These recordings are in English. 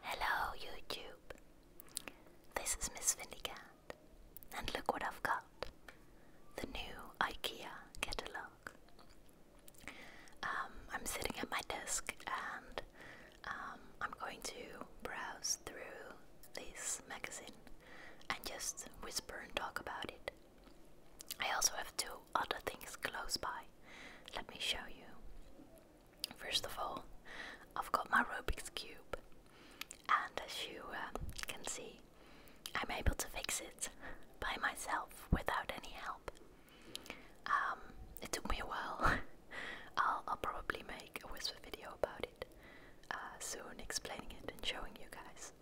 Hello, YouTube. This is Miss Vindicat, and look what I've got the new IKEA catalogue. Um, I'm sitting at my desk and um, I'm going to browse through this magazine and just whisper and talk about it. I also have two other things close by. Let me show you. First of all, I've got my Rubik's Cube, and as you um, can see, I'm able to fix it by myself without any help. Um, it took me a while. I'll, probably make a whisper video about it uh, soon, explaining it and showing you guys.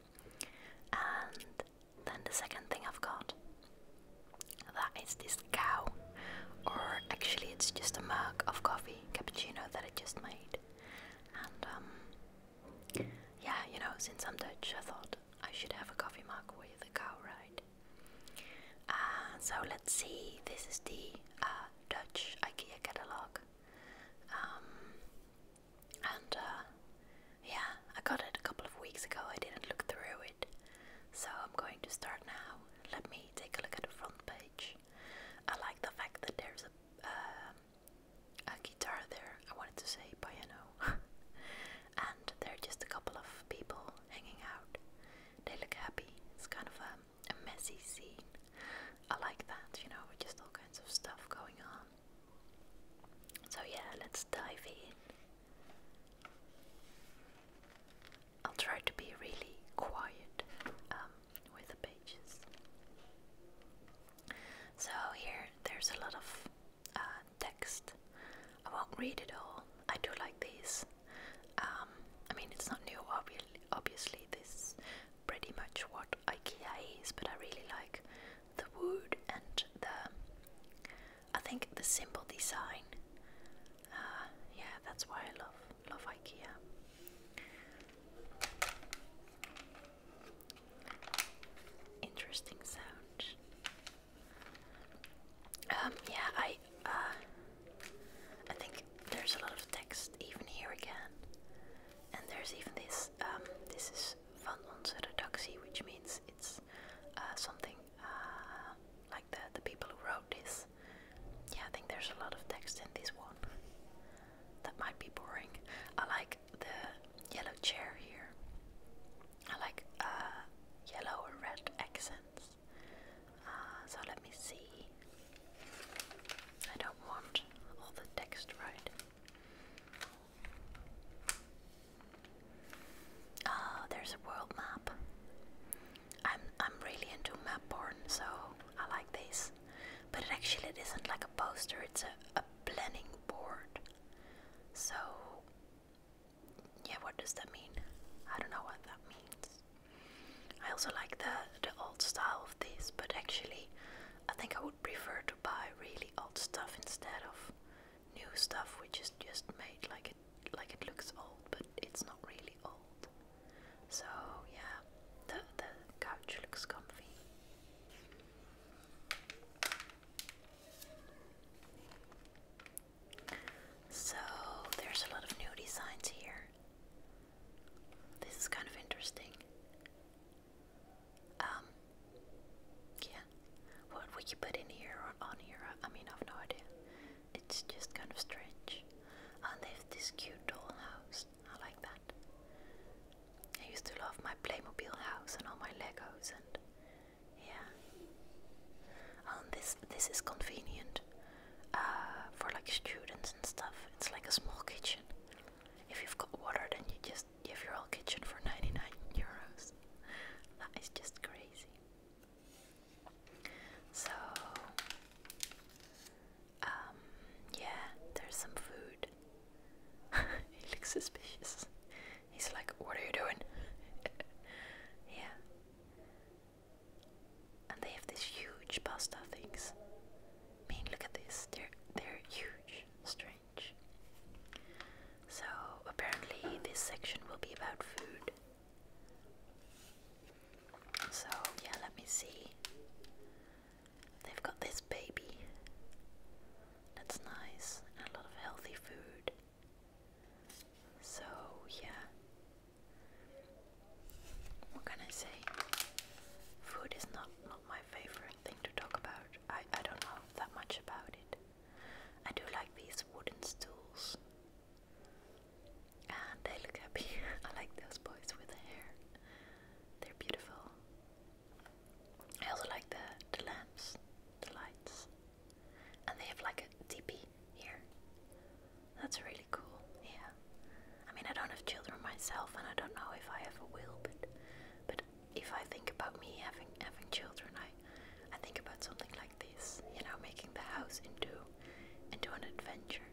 And then the second thing I've got that is this cow, or actually, it's just a mug of coffee cappuccino that I just made. And, um, yeah, you know, since I'm Dutch, I thought I should have a coffee mug with a cow, right? Uh, so let's see, this is the uh, Dutch IKEA catalog. Um, and uh, yeah, I got it a couple of weeks ago. I didn't look through it. So I'm going to start now. Let me take a look at the front page. I like the fact that there's a, um, a guitar there. I wanted to say piano. and there are just a couple of people hanging out. They look happy. It's kind of a, a messy scene. I like that, you know, with just all kinds of stuff going on. So yeah, let's dive in. I'll try to be really quiet um, with the pages. So here there's a lot of uh, text. I won't read it all. I do like these. Um, I mean, it's not new, obviously. Obviously, this pretty much what IKEA is, but I really like the wood and the I think the simple design. Uh, yeah, that's why I love love IKEA. Interesting sound. Um, yeah, I uh, I think there's a lot of text even here again, and there's even this. Um, this is van onze redactie, which means it's uh, something like the the people who wrote this. Yeah, I think there's a lot of text in this one. that might be boring. I like the yellow chair here. I like uh, yellow or red accents. Uh, so let me see. I don't want all the text right. Oh, there's a world map. I'm I'm really into map porn, so I like this. But actually it isn't like a poster; it's a, a planning board. So yeah, what does that mean? I don't know what that means. I also like the the old style of this, but actually, I think I would prefer to buy really old stuff instead of new stuff, which is just made like it like it looks old, but it's not really old. So yeah, the the couch looks comfy. So there's a lot of new designs here. This is kind of interesting. Um, yeah. What would you put in here or on here? I mean, I've no idea. It's just kind of strange. And they have this cute dollhouse. I like that. I used to love my Playmobil house and all my Legos and yeah. Oh, and this this is convenient uh, for like students and stuff. It's like a small kitchen. If you've got water, then you just give your whole kitchen for 99 euros. That is just crazy. So, um, yeah, there's some food. he looks suspicious. He's like, What are you doing? yeah. And they have these huge pasta things. I mean, look at this. They're they're huge. Strange. So apparently this section will be about food. So, yeah, let me see. They've got this baby. That's nice. a lot of healthy food. So, yeah. What can I say? Food is not, not my favorite thing to talk about. I, I don't know that much about it. I do like these wooden stools. And they look happy. I like those boys with the hair. They're beautiful. I also like the, the lamps, the lights. And they have like a teepee here. That's really cool, yeah. I mean, I don't have children myself, and I don't know if I ever will, but but if I think about me having having children, I I think about something like this, you know, making the house into into an adventure.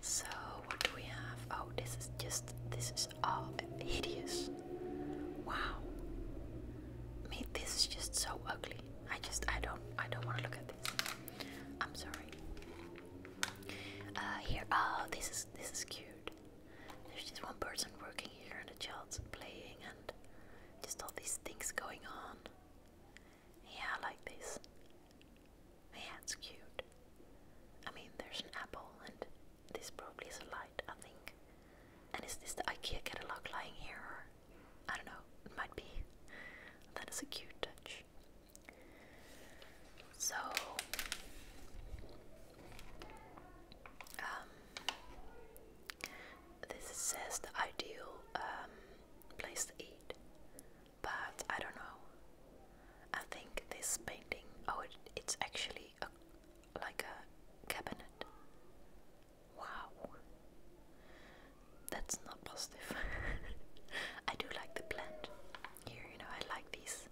So what do we have? Oh, this is just this is all oh, hideous. Wow. me, this is just so ugly. I just I don't I don't want to look at this. I'm sorry. Uh, here, oh, this is this is cute. There's just one person working here and a child's playing and just all these things going on. Yeah, I like this. Yeah, it's cute. I mean, there's an apple and this probably is a light, I think. And is this the IKEA catalog lying here? I don't know, it might be. That is a cute touch. So, um, this says the ideal um, place to eat, but I don't know. I think this painting, oh, it's actually a, like a cabinet. Wow, that's not positive. I do like the plant here. You know, I like these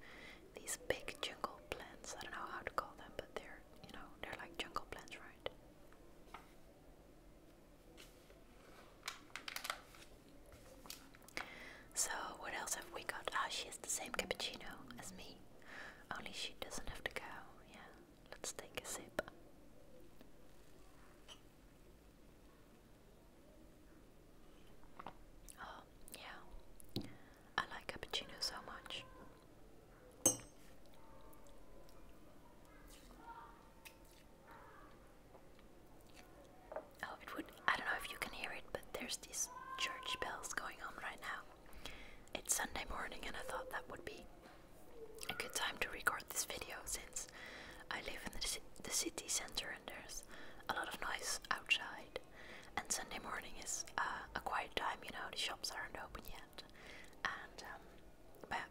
these big jungle plants. I don't know how to call them, but they're you know, they're like jungle plants, right? So, what else have we got? Ah, she has the same cappuccino as me, only she doesn't have the cow. Yeah, let's take a sip. Oh, yeah, I like cappuccino so much. Oh, it would. I don't know if you can hear it, but there's these church bells going on right now. It's Sunday morning, and I thought that would be a good time to record this video since I live in the, the city center and there's a lot of noise outside and Sunday morning is uh, a quiet time, you know, the shops aren't open yet. And um,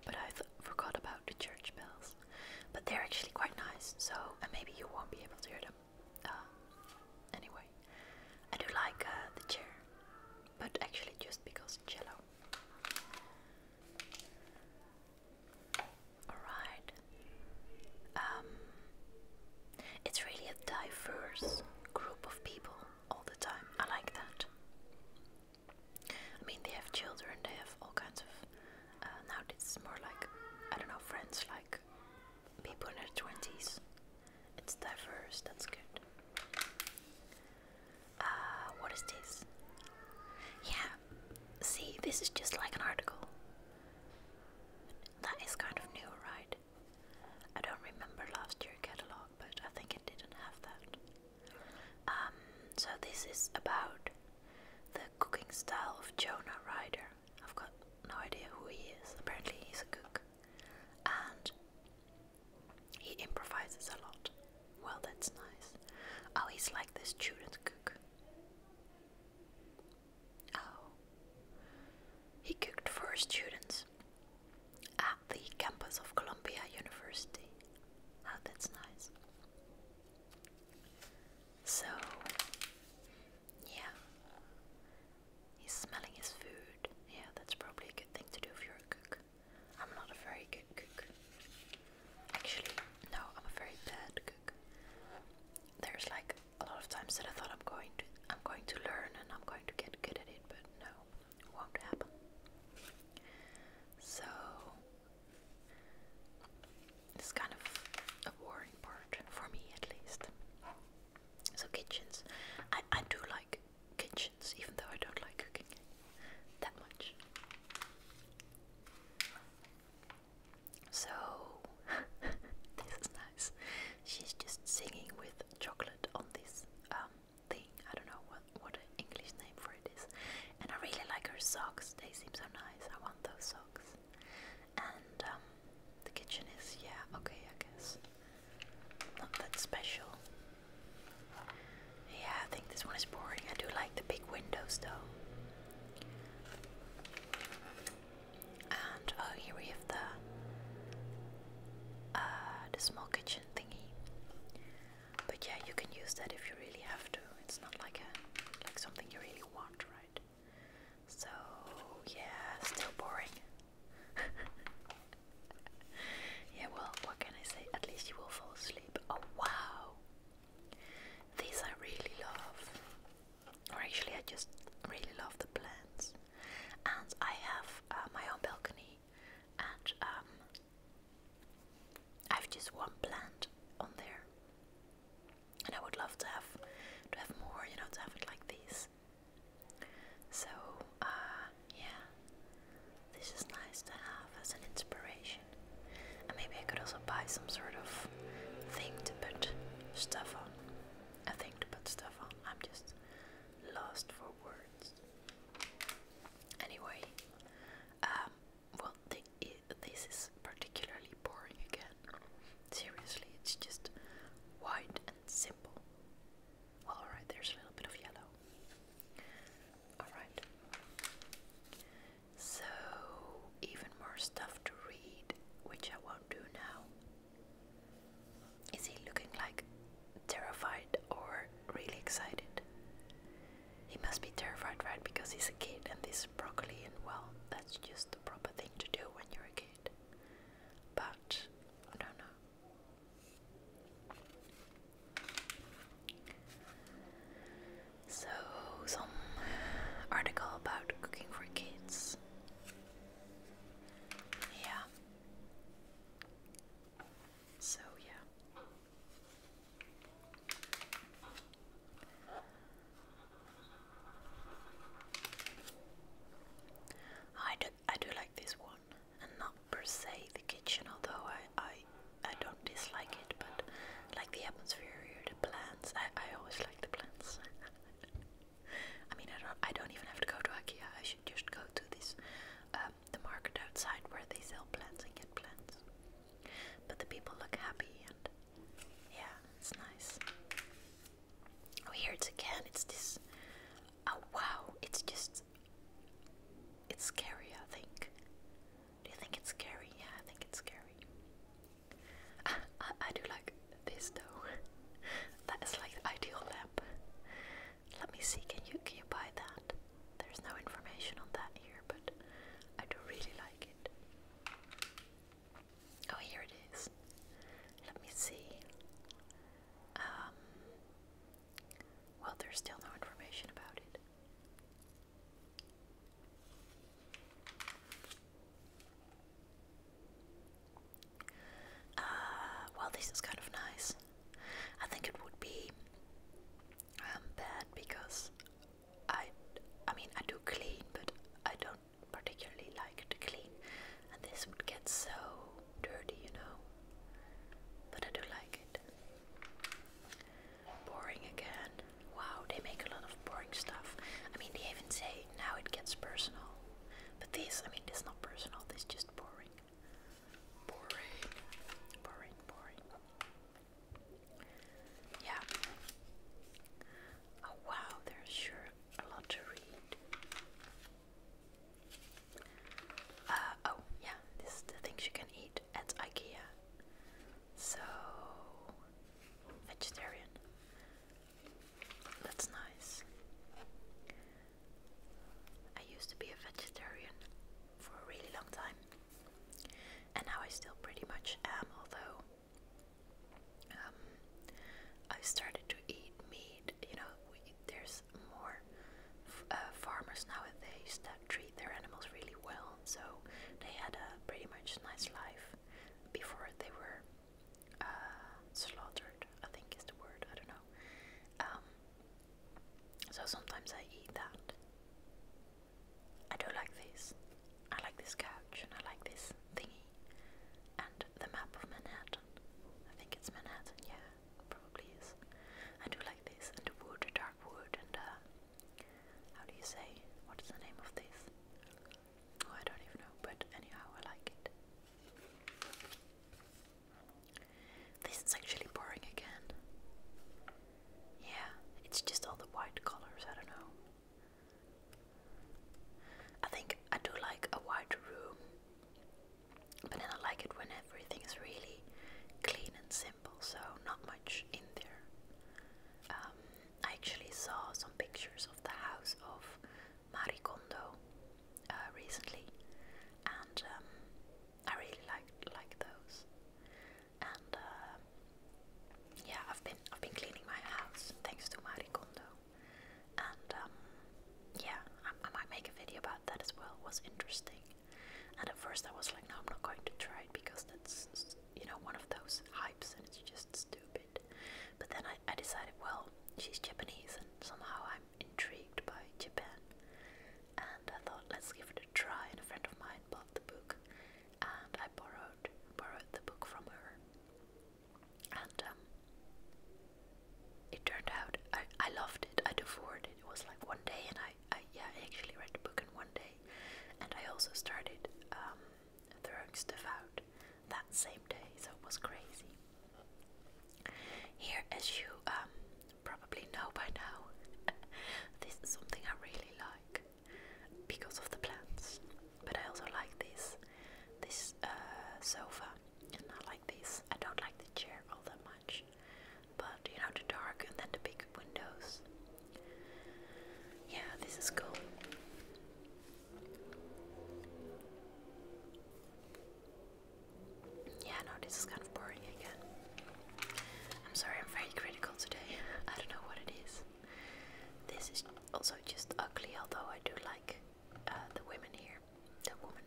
but, I forgot about the church bells, but they're actually quite nice. So and maybe you won't be able to hear them. Um, anyway, I do like uh, the chair, but actually just because it's yellow. Alright. Um, it's really a diverse group of people all the time. I like that. I mean, they have children, they have all kinds of. Uh, now, this is more like, I don't know, friends like people in their 20s. It's diverse, that's good. Uh, what is this? Yeah, see, this is just like an article. That is kind of new, right? I don't remember last year catalog, but I think it didn't have that. Um, so this is about the cooking style of Jonah Rider. I've got no idea who he is. Apparently he's a cook. And he improvises a lot. Well, that's nice. Oh, he's like the student cook. Oh, he cooked for students at the campus of Columbia University. Oh, that's nice. So, yeah, he's smelling his food. Yeah, that's probably a good thing to do if you're a cook. I'm not a very good cook. Actually, no, I'm a very bad cook. There's like a lot of times that I thought I'm going to I'm going to learn and I'm going to get good at it, but no, it won't happen. So it's kind of a boring part for me at least. So kitchens, I I do like kitchens even though I don't like cooking that much. So this is nice she's just singing with chocolate on this um, thing. I don't know what what English name for it is. And I really like her socks. They seem so nice. I want those socks. And um, the kitchen is yeah okay I guess not that special. Yeah, I think this one is boring. I do like the big windows though. And oh, here we have the uh, the small kitchen thingy. But yeah, you can use that if you really have to. It's not like like something you really want, right? So yeah, still boring. yeah, well, what can I say? At least you will fall asleep. Oh wow! These I really love. Or actually, I just really love the plants and I have uh, my own balcony, and um, I have just one plant on there, and I would love to have to have more, you know, to have it like this. So uh, yeah, this is nice to have as an inspiration, and maybe I could also buy some sort of thing to put stuff on, a thing to put stuff on. I'm just lost for words. Anyway, um, well, this is particularly boring again. Seriously, it's just white and simple. Well, alright, there's a little bit of yellow. Alright. So, even more stuff to read, which I won't do now. Is he looking like terrified or really excited? He must be terrified, right? Because he's a kid and this broccoli, and well, that's just the proper thing to do when you're a kid. But I don't know. So, some article about cooking for kids. Yeah, so, yeah. I do, I do like this one, and not per se the kitchen, although I, I, I don't dislike it, but like the atmosphere, the plants, I, I always like the plants. I mean, I don't, I don't even have to go to IKEA. I should just go to this, um, the market outside where they sell plants and get plants. But the people look happy, and yeah, it's nice. Oh, here it's again. It's this. Oh wow! It's just. It's scary. I think. Do you think it's scary? Yeah, I think it's scary. Ah, I, I do like this though. that is like the ideal lamp. Let me see, can you can you buy that? There's no information on that here, but I do really like it. Oh, here it is. Let me see. Um, well, there's still no information about it. Uh, well, this is kind of nice. I think it would be um, bad because I, I mean, I do clean, but I don't particularly like to clean, and this would get so dirty, you know. But I do like it. Boring again. Wow, they make a lot of boring stuff. I mean, they even say now it gets personal. But this, I mean, it's not personal, this just boring. Boring. Boring, boring. Yeah. Oh wow, there's sure a lot to read. Uh, oh, yeah, this is the things you can eat at IKEA. So, vegetarian. That's nice. I used to be a vegetarian for a really long time, and now I still pretty much am, although um, I started to eat meat. You know, there's more f uh, farmers nowadays that treat their animals really well, so they had a pretty much nice life before they were uh, slaughtered, I think is the word, I don't know. Um, so sometimes I eat that. I do like this. I like this couch and I like this thingy. And the map of Manhattan. I think it's Manhattan, yeah, probably is. I do like this. And the wood, the dark wood, and uh, how do you say? What is the name of this? Oh, I don't even know, but anyhow, I like it. This is actually boring again. Yeah, it's just all the white colors, I don't know. I think I do like a white room, but then I like it when everything is really clean and simple, so not much in there. Um, I actually saw some pictures of the house of Marie uh, recently, and um, I really like like those. And uh, yeah, I've been I've been cleaning my house thanks to Marie and um, yeah, I, might make a video about that as well. It was interesting. And at first I was like, no, I'm not going to try it because that's you know one of those hypes and it's just stupid. But then I, I decided, well, she's Japanese and somehow I intrigued by Japan, and I thought let's give it a try. And a friend of mine bought the book, and I borrowed borrowed the book from her, and um, it turned out I I loved it. I devoured it. It was like one day, and I I yeah I actually read the book in one day, and I also started um, throwing stuff out that same day, so it was crazy. Here, as you um, probably know by now, this is something I really like because of the plants, but I also like this this uh, sofa, and I like this. I don't like the chair all that much, but you know the dark and then the big windows. Yeah, this is cool. Yeah, no, this is kind of boring again. I'm sorry, I'm very critical today. I don't know what it is. This is also just ugly, although I do like uh, the women here. The woman.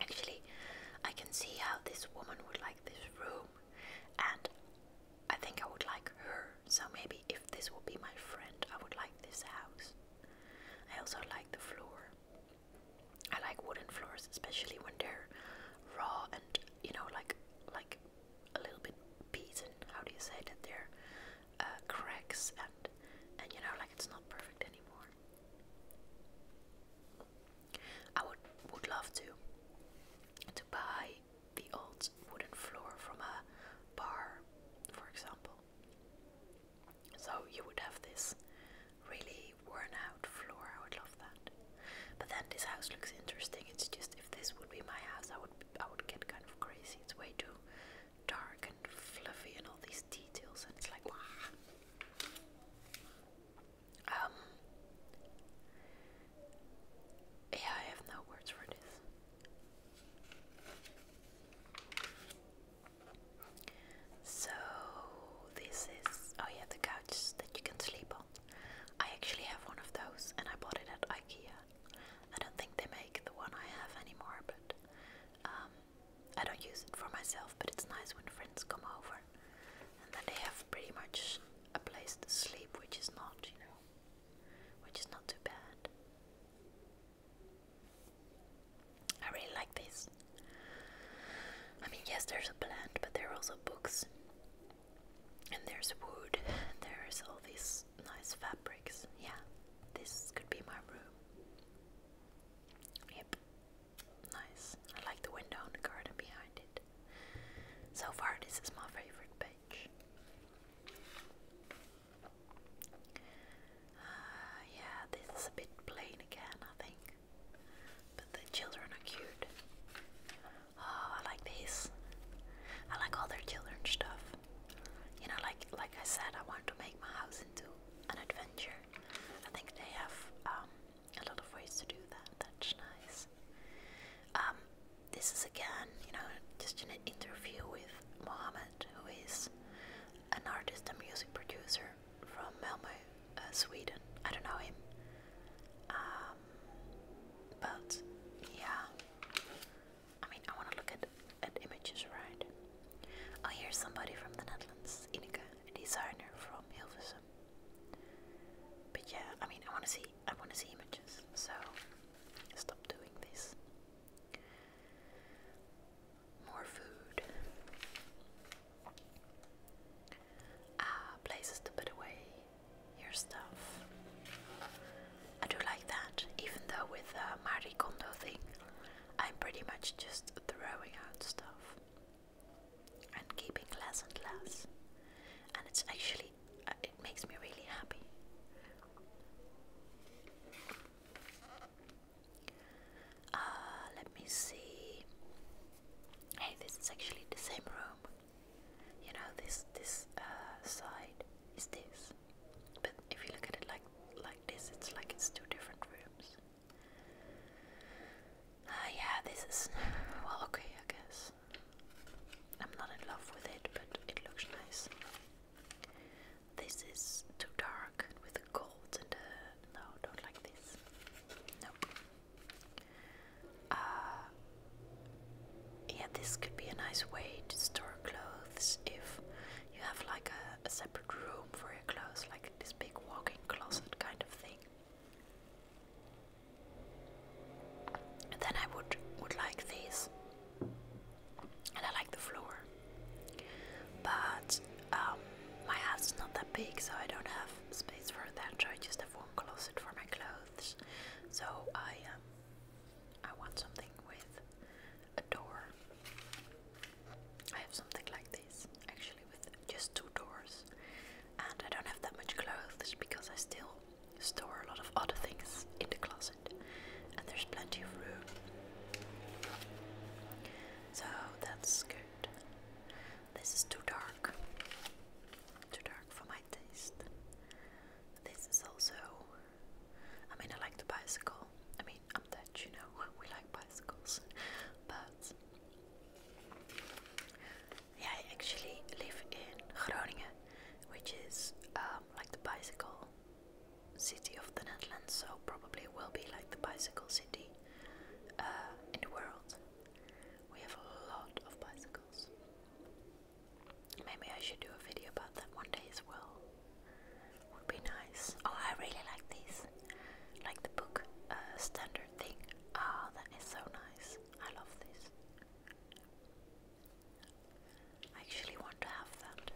Actually, I can see how this woman would like this room, and I think I would like her. So maybe if this would be my friend, I would like this house. I also like the floor. I like wooden floors, especially when they're raw and you know, like like a little bit beaten. How do you say that? They're uh, cracks and and you know, like it's not perfect anymore. I would would love to to buy the old wooden floor from a bar, for example. So you would have this really worn out floor. I would love that. But then this house looks interesting. It's just if this would be my house, I would I would get kind of crazy. It's way too dark and fluffy and all these details, and it's like wow. Um. Yeah, I have no words for this. So this is oh yeah the couch that you can sleep on. I actually have one of those and I bought it at IKEA. I don't think they make the one I have anymore, but um, I don't use it for myself. But it's nice when friends come over, and then they have pretty much a place to sleep, which is not you know, which is not too bad. I really like this. I mean, yes, there's a plant, but there are also books, and there's wood, and there's all these nice fabrics. Yeah, this could be my room. Yep, nice. I like the window and the garden behind it. So far, this is my favorite page. Uh, yeah, this is a bit plain again, I think. But the children are cute. Oh, I like this. I like all their children stuff. You know, like like I said, I want to make my house into an adventure. I think they have um, a lot of ways to do that. That's nice. Um, this is again, you know, just an interview with Mohammed, who is an artist and music producer from Malmo, uh, Sweden. I don't know him, um, but yeah. I mean, I want to look at at images, right? Oh, here's somebody from the Netherlands, Ineke, a designer from Hilversum. But yeah, I mean, I want to see I want to see images, so stop doing this more food, uh, places to put away your stuff. I do like that, even though with the Marie Kondo thing, I'm pretty much just throwing out stuff and keeping less and less. And it's actually, uh, it makes me really happy. Uh, let me see. Hey, this is actually the same room. You know, this this uh, side is this, but if you look at it like like this, it's like it's two different rooms. Uh, yeah, this is well okay, I guess. I'm not in love with it, but it looks nice. This is too dark with the gold and the. No, don't like this. No. Uh, yeah, this could be a nice way to store clothes if you have like a, separate room for your clothes, like this big walk closet kind of thing. then I would would like these and I like the floor. But um, my house is not that big, so I don't have space for that. So I just have one closet for my clothes. So I, um, I want something with a door. I have something like this, actually, with just two doors. And I don't have that much clothes because I still store a lot of other things in the closet, and there's plenty of room. So that's good. This is too dark. Too dark for my taste. This is also. I mean, I like the bicycle. I mean, I'm Dutch, you know, we like bicycles. But. Yeah, I actually live in Groningen, which is um, like the bicycle city of the Netherlands, so probably will be like the bicycle city uh, in the world. We have a lot of bicycles. Maybe I should do a video about that one day as well. Would be nice. Oh, I really like these, like the book uh, standard thing. Ah, that is so nice. I love this. I actually want to have that.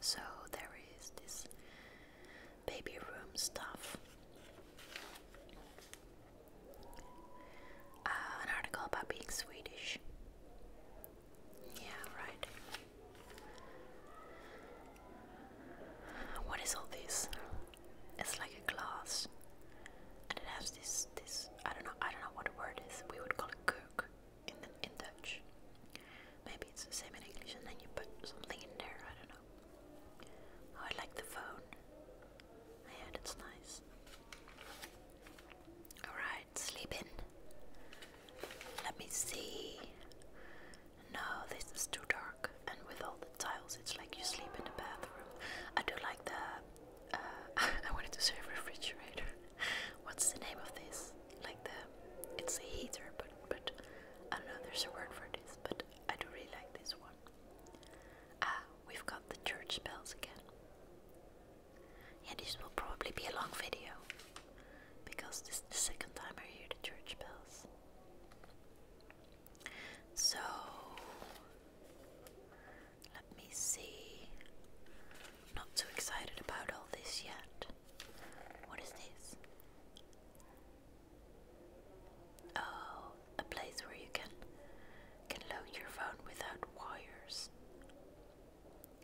So there is this baby room stuff. Uh, an article about being Swedish. Yeah, right. What is all this? It's like a glass, and it has this this I don't know I don't know what the word is. We would call it cook in in Dutch. Maybe it's the same in English and then you put something in there, I don't know. Oh, I like the phone. Yeah, it's nice. Alright, sleep in. Let me see. No, this is too dark and with all the tiles it's like you sleep in the bathroom. I do like the uh, I wanted to say refrigerator. What's the name of this? Like the, it's a heater, but but I don't know. There's a word for this, but I do really like this one. Ah, we've got the church bells again. Yeah, this will probably be a long video because this is the second time I hear the church bells. So let me see. Not too excited about all this yet. What is this? Oh, a place where you can can load your phone without wires.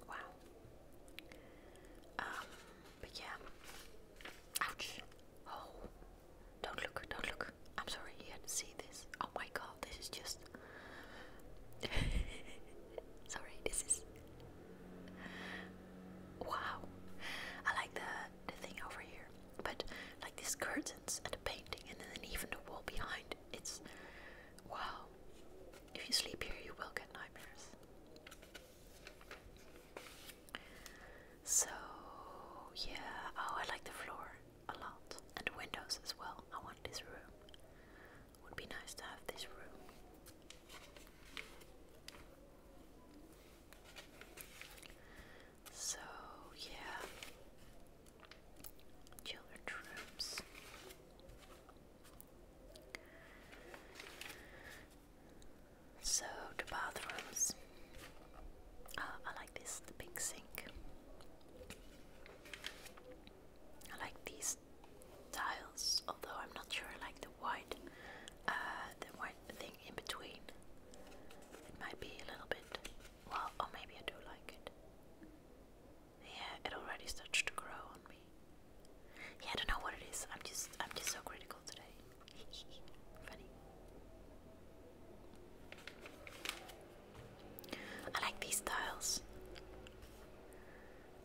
Wow. Um, but yeah. Ouch. Oh. Don't look, don't look. I'm sorry you had to see this oh my god, this is just. Sorry, this is. Wow, I like the the thing over here, but like these curtains and the painting, and then even the wall behind. It's wow. If you sleep here, you will get nightmares. So yeah. Oh, I like the floor a lot, and windows as well. I want this room. Would be nice to have this room. So, yeah. Children's rooms. So, the bathrooms. Uh, I like this, the big sink. I like these tiles, although I'm not sure I like the white, uh, the white thing in between. It might be a little bit, well, or maybe I do like it. Yeah, it already starts to grow on me. Yeah, I don't know what it is. I'm just, I'm just so critical today. Funny. I like these tiles,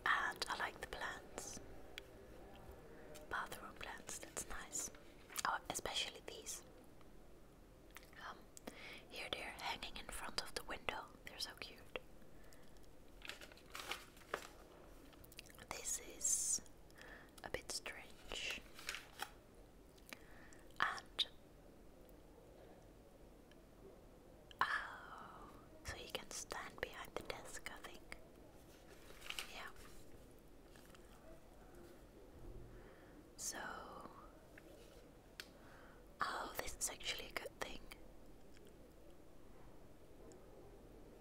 and I like the plants, bathroom plants. That's nice. Oh, especially these. Um, here they're hanging in front of the window. They're so cute. This is a bit strange. And Oh, so you can stand behind the desk, I think. Yeah. So. Oh, this is actually a good thing.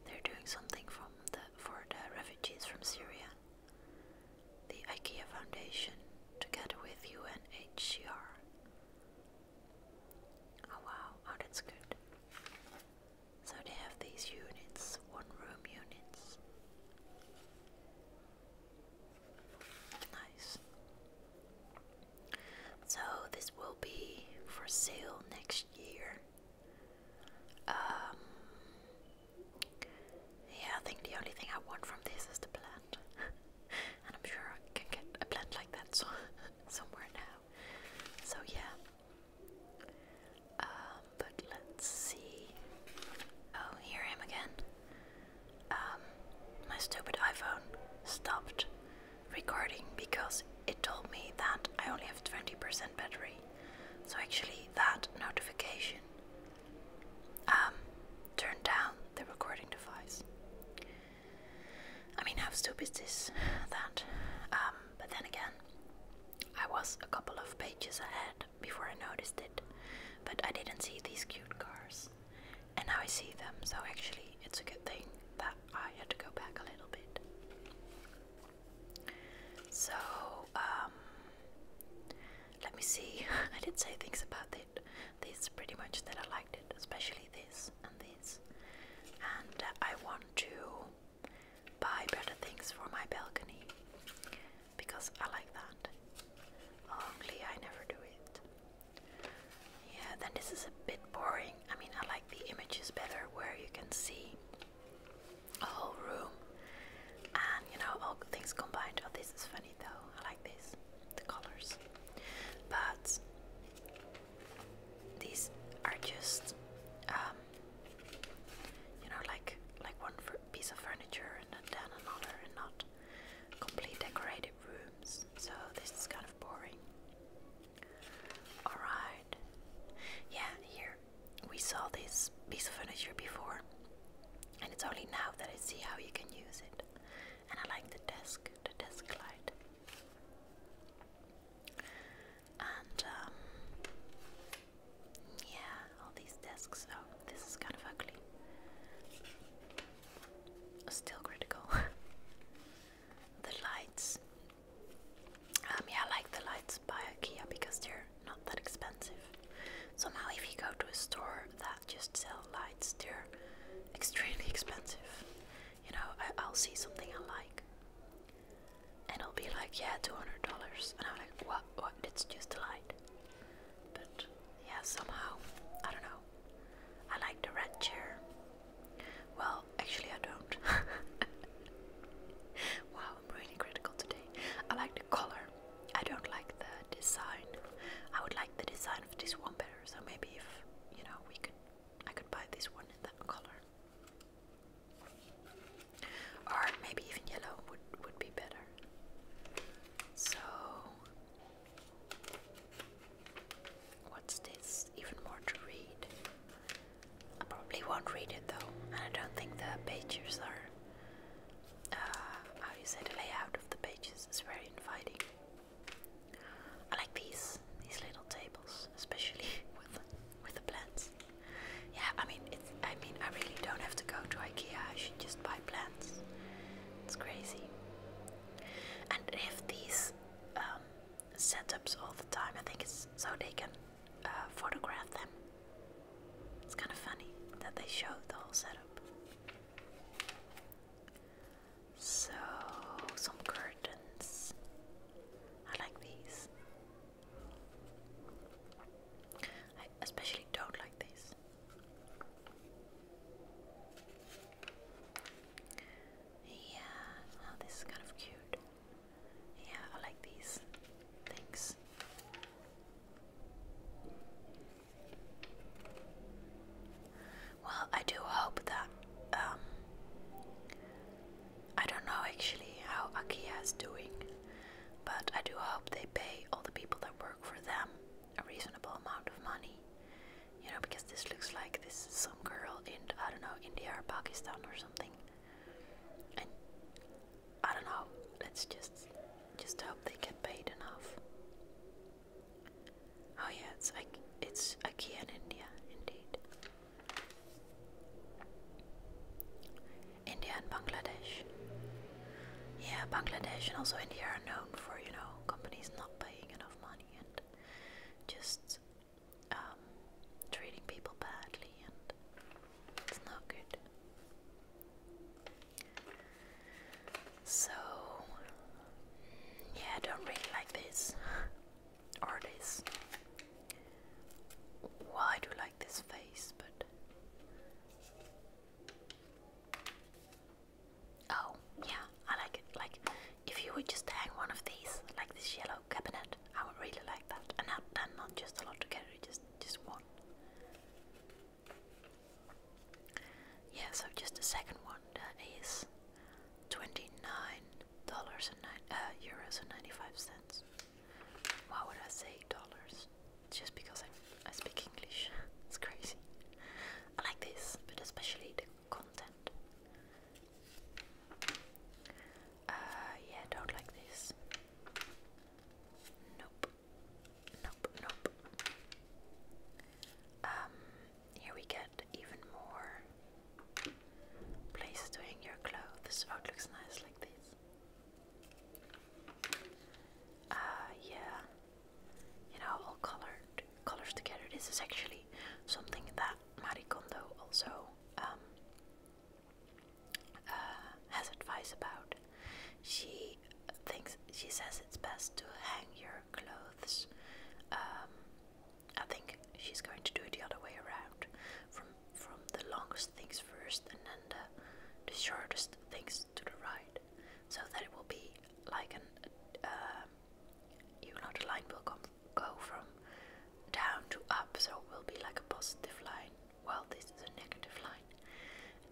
They're doing something from the for the refugees from Syria. The IKEA Foundation, together with UNHCR, Oh wow, oh that's good. So they have these units, one room units. Nice. So this will be for sale next year. Um, yeah, I think the only thing I want from this is the plant. and I'm sure I can get a blend like that somewhere now. So yeah. Um, but let's see. Oh, here I am again. Um, my stupid iPhone stopped recording because it told me that I only have 20% battery. So actually, that notification um, turn down the recording device. I mean, how stupid is this? That. Um, but then again, I was a couple of pages ahead before I noticed it, but I didn't see these cute cars, and now I see them. So actually, it's a good thing that I had to go back a little bit. So, um, let me see. I did say things about it this pretty much that I liked it, especially this and this. And uh, I want to buy better things for my balcony because I like that. Only I never do it. Yeah, then this is a bit boring. I mean, I like the images better where you can see a whole room and you know all things combined. Oh, this is funny though. I like this, the colors. But these are just, um, you know, like like one piece of furniture and then another, and not complete decorated rooms. So this is kind of boring. Alright. Yeah, here we saw this piece of furniture before, and it's only now that I see how you can use it and I like the desk, the desk light. And um, yeah, all these desks. Oh, this is kind of ugly. Still critical. the lights. Um, yeah, I like the lights by IKEA because they're not that expensive. Somehow, if you go to a store that just sell lights. They're extremely expensive. You know, I, I'll see something I like, and I'll be like, yeah, two hundred dollars, and I'm like, what? What? It's just a light. But yeah, somehow, I don't know. I like the red chair. Well, actually, I don't. wow, I'm really critical today. I like the color. I don't like the design. I would like the design of this one better. So maybe if you know, we could, I could buy this one in that color, or maybe even yellow would would be better. So. What's this? Even more to read. I probably won't read it though, and I don't think the pages are. Uh, how you say the layout of the pages is very inviting. I like these these little tables, especially with with the plants. Yeah, I mean I mean I really don't have to go to IKEA. I should just buy plants. It's crazy. And if these um, setups all the time. I think it's so they can uh, photograph them. It's kind of funny that they show the whole setup. So, some curtains. I like these. I especially don't like these. Yeah, oh, this is kind of cute. Yeah, I like these things. Well, I do hope that. Um, I don't know actually how IKEA is doing, but I do hope they pay all the people that work for them a reasonable amount of money. You know, because this looks like this is some girl in, I don't know, India or Pakistan or something. And I don't know, let's just just hope they get paid enough. Oh yeah, it's like it's IKEA in India, indeed. India and Bangladesh. Yeah, Bangladesh and also India are known for, you know, companies not paying enough money and just um, treating people badly and it's not good. So, yeah, I don't really like this or this. Well, I do like this face, but oh, yeah, I like it. Like, if you would just hang one of these, like this yellow cabinet, I would really like that. And not, and not just a lot together, just just one. Yeah, so just the second one that is twenty nine dollars and nine uh, euros ninety five Why would I say dollars? It's just because I I speak English. it's crazy. I like this, but especially the content. Uh, yeah, don't like this. Nope. Nope, nope. Um, here we get even more places to hang your clothes. Oh, it looks nice like this. Uh, yeah. You know, all colored colors together. This is actually something that Marie Kondo also um, uh, has advice about. She she thinks she says it's best to hang your clothes. Um, I think she's going to do it the other way around, from from the longest things first, and then the, shortest things to the right, so that it will be like an um, you know the line will come go from down to up, so it will be like a positive line. Well, this is a negative line,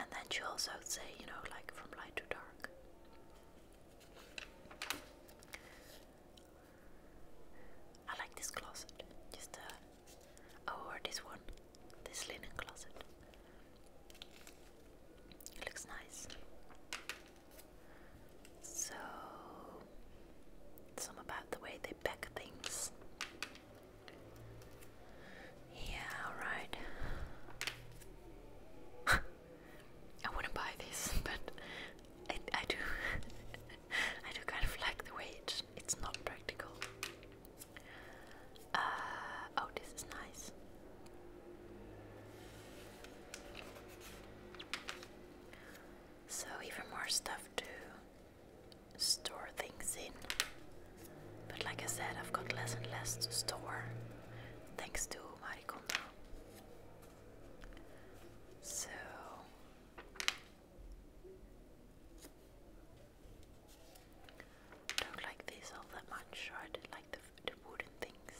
and then she also say, you know, like from light to dark. I like this closet. Just uh oh, or this one. This linen closet. It looks nice. So some about the way they pack things. Yeah, alright. I wouldn't buy this, but I, I do. I do kind of like the way it's, not practical. Uh, oh, this is nice. So, even more stuff to store things in. But, like I said, I've got less and less to store thanks to so don't like these all that much, I did like the, the wooden things.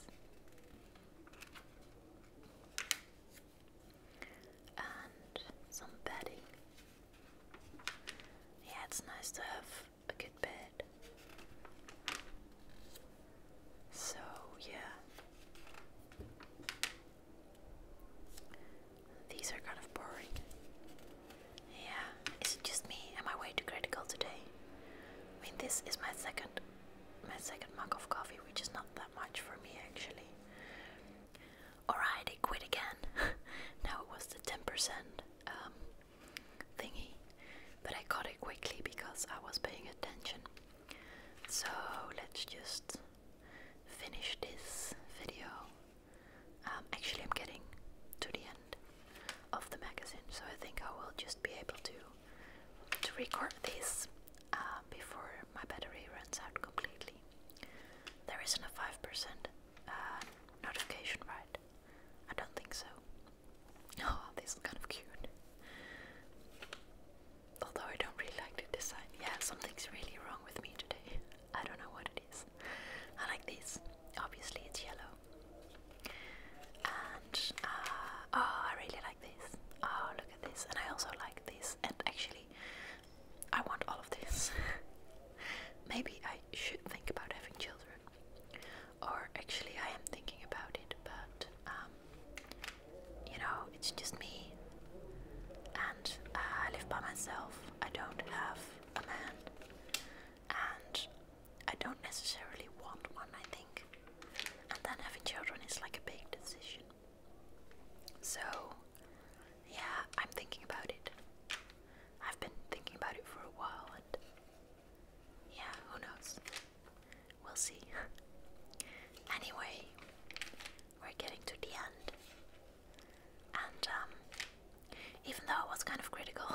And some bedding. Yeah, it's nice to have a good bed. So, yeah. These are kind of boring. Yeah, is it just me? Am I way too critical today? I mean, this is my second, my second mug of coffee, which is not that much for me actually. Alright, I quit again. now it was the ten percent. Um, thingy, but I caught it quickly because I was paying attention. So let's just finish this video. Um, actually, I'm getting to the end of the magazine, so I think I will just be able to to record this uh, before my battery runs out completely. There isn't a five percent uh, notification, right? I don't think so. Oh, these kind of cute. Although I don't really like the design. Yeah, something's really wrong with me today. I don't know what it is. I like this. Obviously, it's yellow. And, uh, oh, I really like this. Oh, look at this. And I also like this. And actually, I want all of this. Maybe I should think about having children. Or actually, I am thinking about it, but um, you know, it's just me, and uh, I live by myself. I don't have a man, and I don't necessarily want one. I think, and then having children is like a big decision. So, yeah, I'm thinking about it. I've been thinking about it for a while, and yeah, who knows? We'll see. anyway, we're getting to the end. And um, even though it was kind of critical,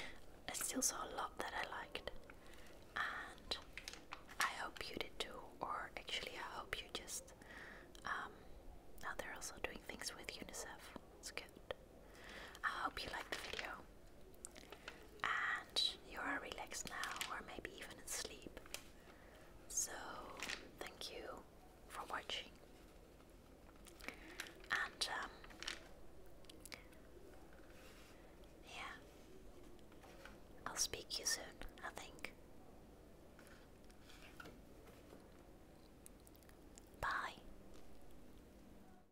I still saw a lot that I liked. And I hope you did too, or actually, I hope you just. Um, now they're also doing things with UNICEF. It's I hope you liked the video and you are relaxed now, or maybe even in So, thank you for watching. And, um, yeah, I'll speak to you soon, I think. Bye.